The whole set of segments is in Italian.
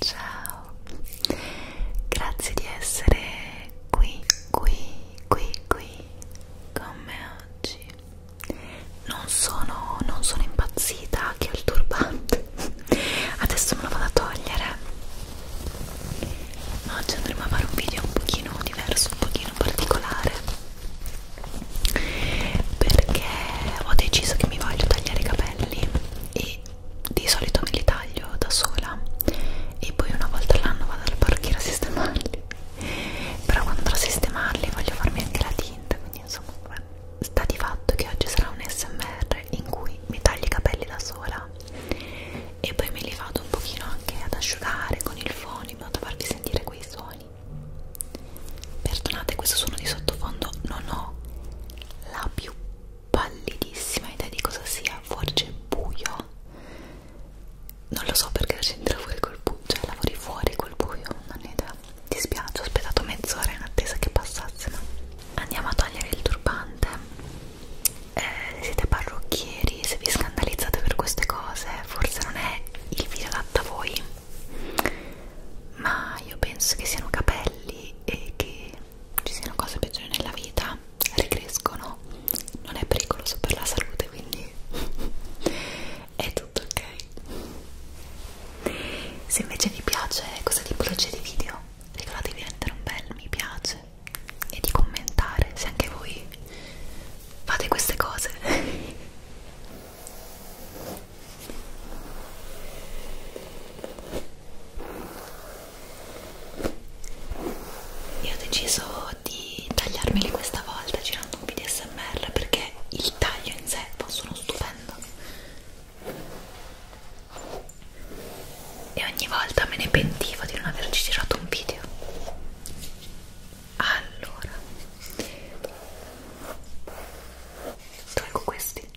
Ciao, grazie di essere qui, qui, qui, qui con me oggi. Non sono, non sono impazzita che ho il turbante, adesso me lo vado a togliere. Ma oggi andremo a fare un video un pochino diverso, un pochino particolare perché ho deciso che mi voglio tagliare i capelli e di solito me li taglio da sola e poi una volta all'anno vado al parrucchiere a sistemarli però quando andrò a sistemarli voglio farmi anche la tinta quindi insomma beh, sta di fatto che oggi sarà un smr in cui mi taglio i capelli da sola e poi me li vado un pochino anche ad asciugare con il phone in modo da farvi sentire quei suoni perdonate questo suono di sottofondo non ho la più pallidissima idea di cosa sia, forse buio. Non lo so perché c'entra fuori col buio, cioè lavori fuori col buio, non ne idea. Dispiace, ho aspettato mezz'ora in attesa che passasse. Ma... Andiamo a togliere il turbante. Eh, siete parrucchieri, se vi scandalizzate per queste cose, forse non è il video adatto a voi. Ma io penso che siano capelli e che ci siano cose peggiori nella vita, ricrescono, non è pericoloso per la salute, quindi è tutto ok. Se invece vi piace questa tipologia di video, ricordatevi di mettere un bel mi piace e di commentare se anche voi fate queste cose. e ho deciso di tagliarmeli questa volta girando un video smr perché il taglio in sé fa sono stupendo e ogni volta me ne pentivo di non averci girato un video allora tolgo questi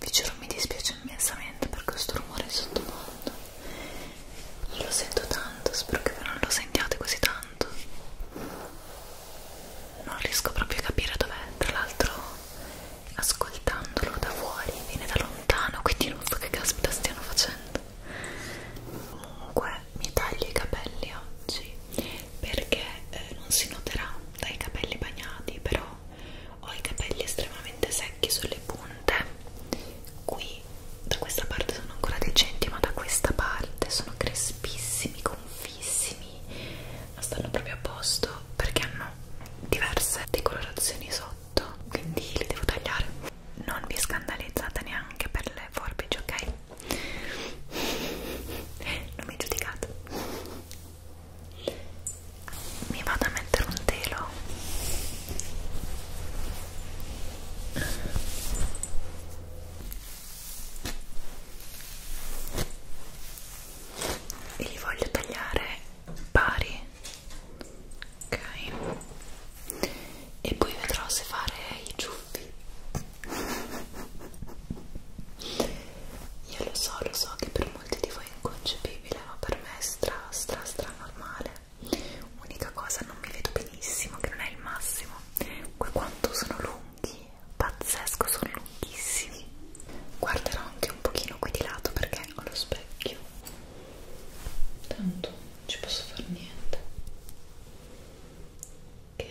vi giuro mi dispiace immensamente per questo rumore sottofondo lo sento tanto spero che voi non lo sentiate così tanto non riesco proprio a capire dov'è tra l'altro ascoltandolo da fuori viene da lontano quindi non so che caspita stiano facendo comunque mi taglio i capelli oggi perché eh, non si noterà dai capelli bagnati però ho i capelli estremamente secchi sulle punte qui da questa parte sono ancora decenti ma da questa parte sono crespissimi confissimi non stanno proprio a posto perché hanno diverse decolorazioni sotto quindi li devo tagliare non vi scandalizzate neanche per le forbici ok non mi giudicate mi vado a mettere un telo e li voglio tagliare pari ok e poi vedrò se fare i ciuffi io lo so lo so che per molti di voi inconcepibile, ma per me è stra stra stra normale. Unica cosa, non mi vedo benissimo, che non è il massimo. Qui quanto sono lunghi, pazzesco, sono lunghissimi. Guarderò anche un pochino qui di lato perché ho lo specchio. Tanto non ci posso fare niente. Ok.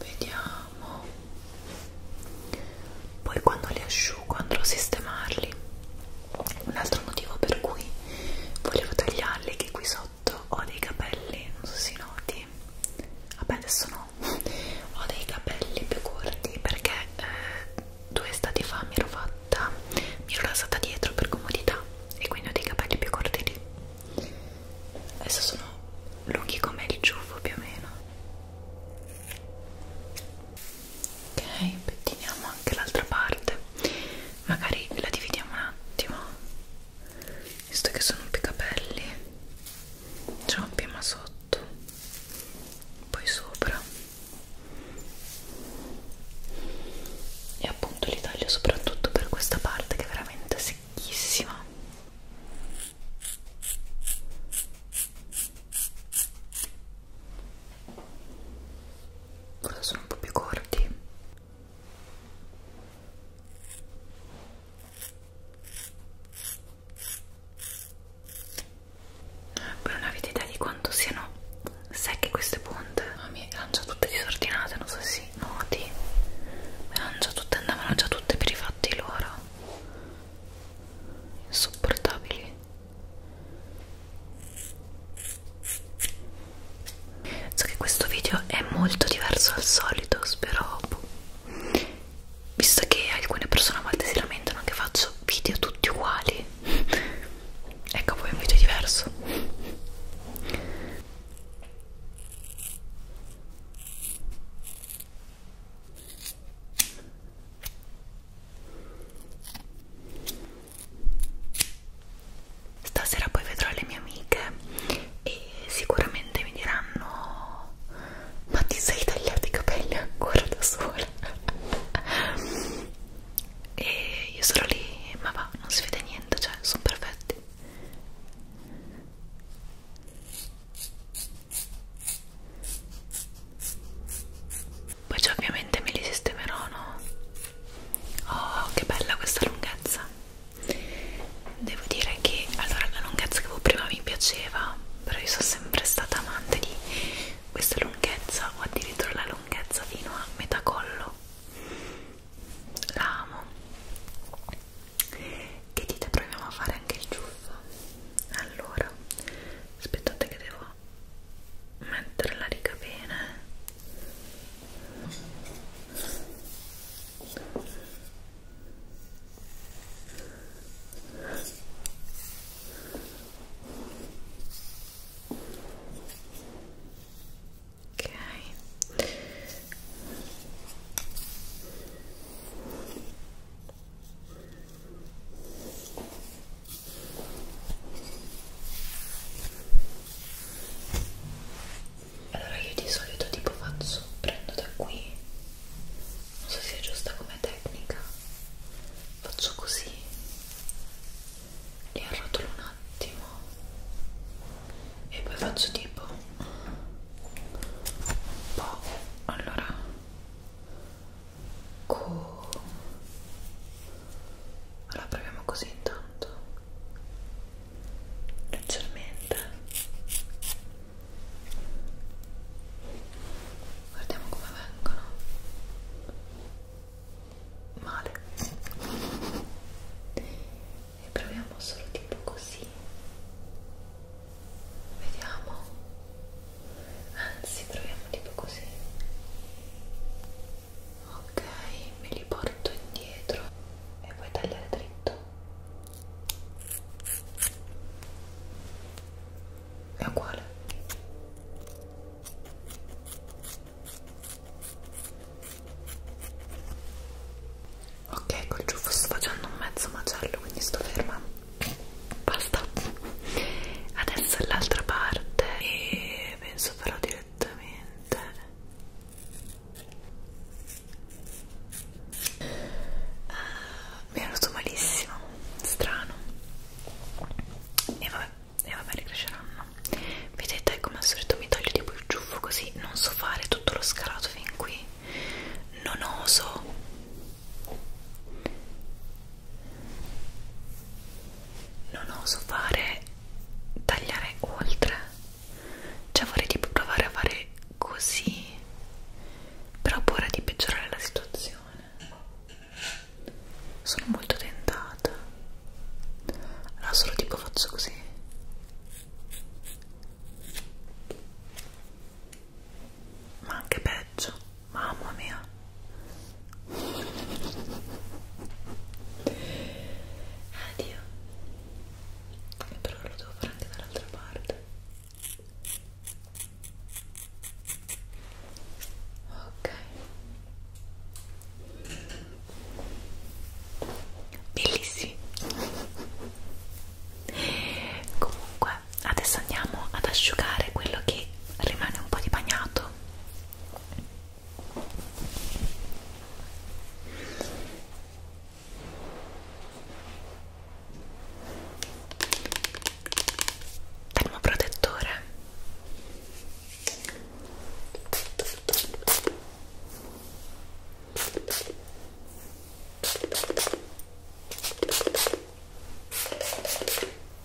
Vediamo poi quando li asciugo andrò a sistemarli un altro motivo per cui volevo tagliarli è che qui sotto ho dei capelli non so si noti vabbè adesso no ho dei capelli più corti perché eh, due estati fa mi ero fatta mi ero rasata dietro per comodità e quindi ho dei capelli più corti lì adesso sono lunghi come il ciuffo più o meno ok pettiniamo anche l'altra parte magari la dividiamo un attimo visto che sono più capelli c'è un prima sotto poi sopra e appunto li taglio soprattutto per questa parte che è veramente secchissima Ora sono un po' più corti. Voi non avete idea di quanto siano secche queste punte. Oh, mi erano già tutte disordinate, non so se si noti. Erano già tutte, andavano già tutte per i fatti loro. Insopportabili. So che questo video è molto diverso al solito, spero, visto che alcune persone a volte si lamentano che faccio video tutti uguali, ecco poi un video diverso. Stasera poi vedrò le mie amiche e sicuramente mi diranno ma ti sei tagliato i capelli ancora da sola? e io sono lì, ma va, non si vede niente, cioè sono perfetti poi cioè, ovviamente me li sistemerò no? oh che bella questa lunghezza devo dire che allora la lunghezza che avevo prima mi piaceva però io sono sempre stata amante di questa lunghezza o addirittura la lunghezza fino a metà collo la amo che dite proviamo a fare anche il ciuffo allora aspettate che devo mettere la riga bene ok allora io di solito tipo faccio, prendo da qui, non so se è giusta come tecnica, faccio così, li arrotolo un attimo e poi faccio tipo un po', allora Q. Ecco. Allora proviamo così intanto. Leggermente. Guardiamo come vengono. Male. E proviamo solo tipo così. Vediamo anzi proviamo tipo così ok me li porto indietro e poi tagliare dritto è uguale ok col ciuffo sto facendo un mezzo macello quindi sto ferma basta adesso è l'altra parte e penso farò direttamente uh, mi è venuto malissimo strano e vabbè e vabbè ricresceranno vedete come al solito mi taglio tipo il ciuffo così non so fare tutto lo scalato fin qui non oso non oso fare tagliare oltre cioè vorrei tipo provare a fare così però ho paura di peggiorare la situazione sono molto tentata allora solo tipo faccio così ma anche peggio mamma mia addio però lo devo fare anche dall'altra parte ok bellissimi comunque adesso andiamo ad asciugare quello che rimane un po' di bagnato termoprotettore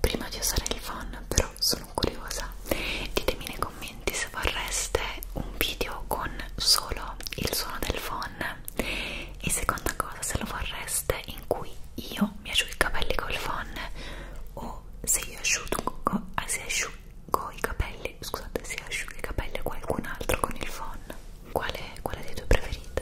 prima di usare il fan però sono curiosa ditemi nei commenti se vorreste un video con solo il suono del phon e seconda cosa se lo vorreste in cui io mi asciugo i capelli col phon o se io asciugo, ah, se asciugo i capelli scusate se asciugo i capelli a qualcun altro con il phon quale, quale dei due preferite?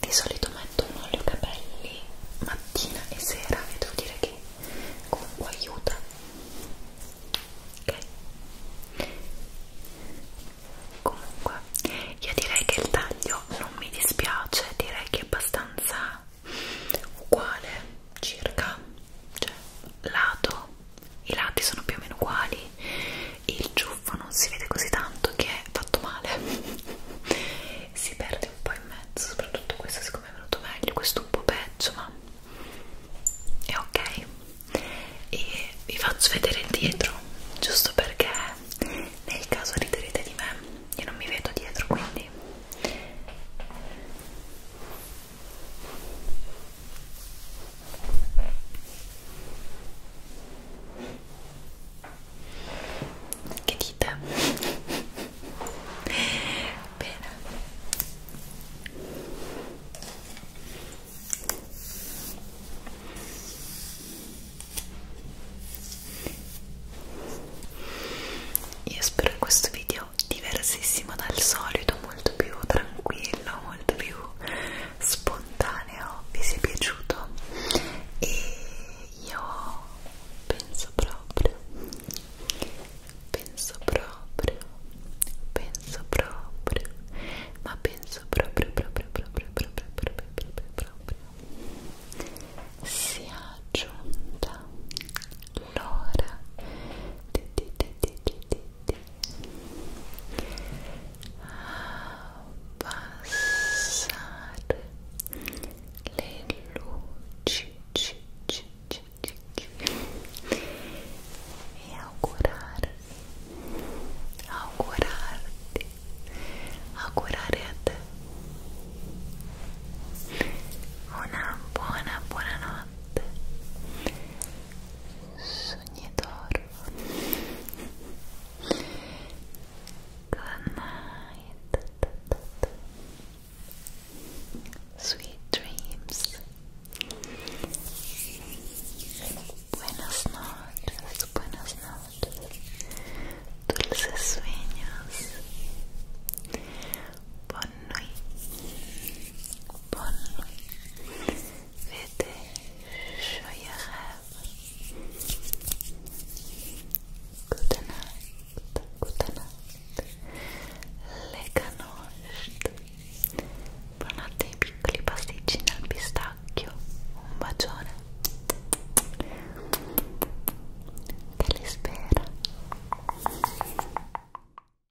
Di solito metto un olio capelli mattina e sera e devo dire che comunque aiuta. Ok? Comunque, io direi che il taglio non mi dispiace, direi che è abbastanza uguale circa, cioè lato i lati sono più o meno uguali il ciuffo non si vede così tanto che è fatto male si perde un po' in mezzo soprattutto questo siccome è venuto meglio questo un po' peggio ma è ok e vi faccio vedere dietro giusto perché nel caso riderete di me io non mi vedo dietro quindi che dite? Bene. Io spero che questo video bello, diversissimo dal solito, molto più tranquillo, molto più spontaneo. Vi è piaciuto? E io penso proprio, penso proprio, penso proprio, ma penso proprio, proprio, proprio, proprio, proprio, proprio, proprio. Sia giunta l'ora di, di, di, di, di, abbassare le luci ci, ci, ci, ci, e augurarvi augurarti augurare a te una buona buona notte sogni sweet dreams buenas noches buenas noches dulces sueños noi buon noi vede gioia good night good night lega nost buonanotte ai piccoli pasticcini al pistacchio un bacione che li spera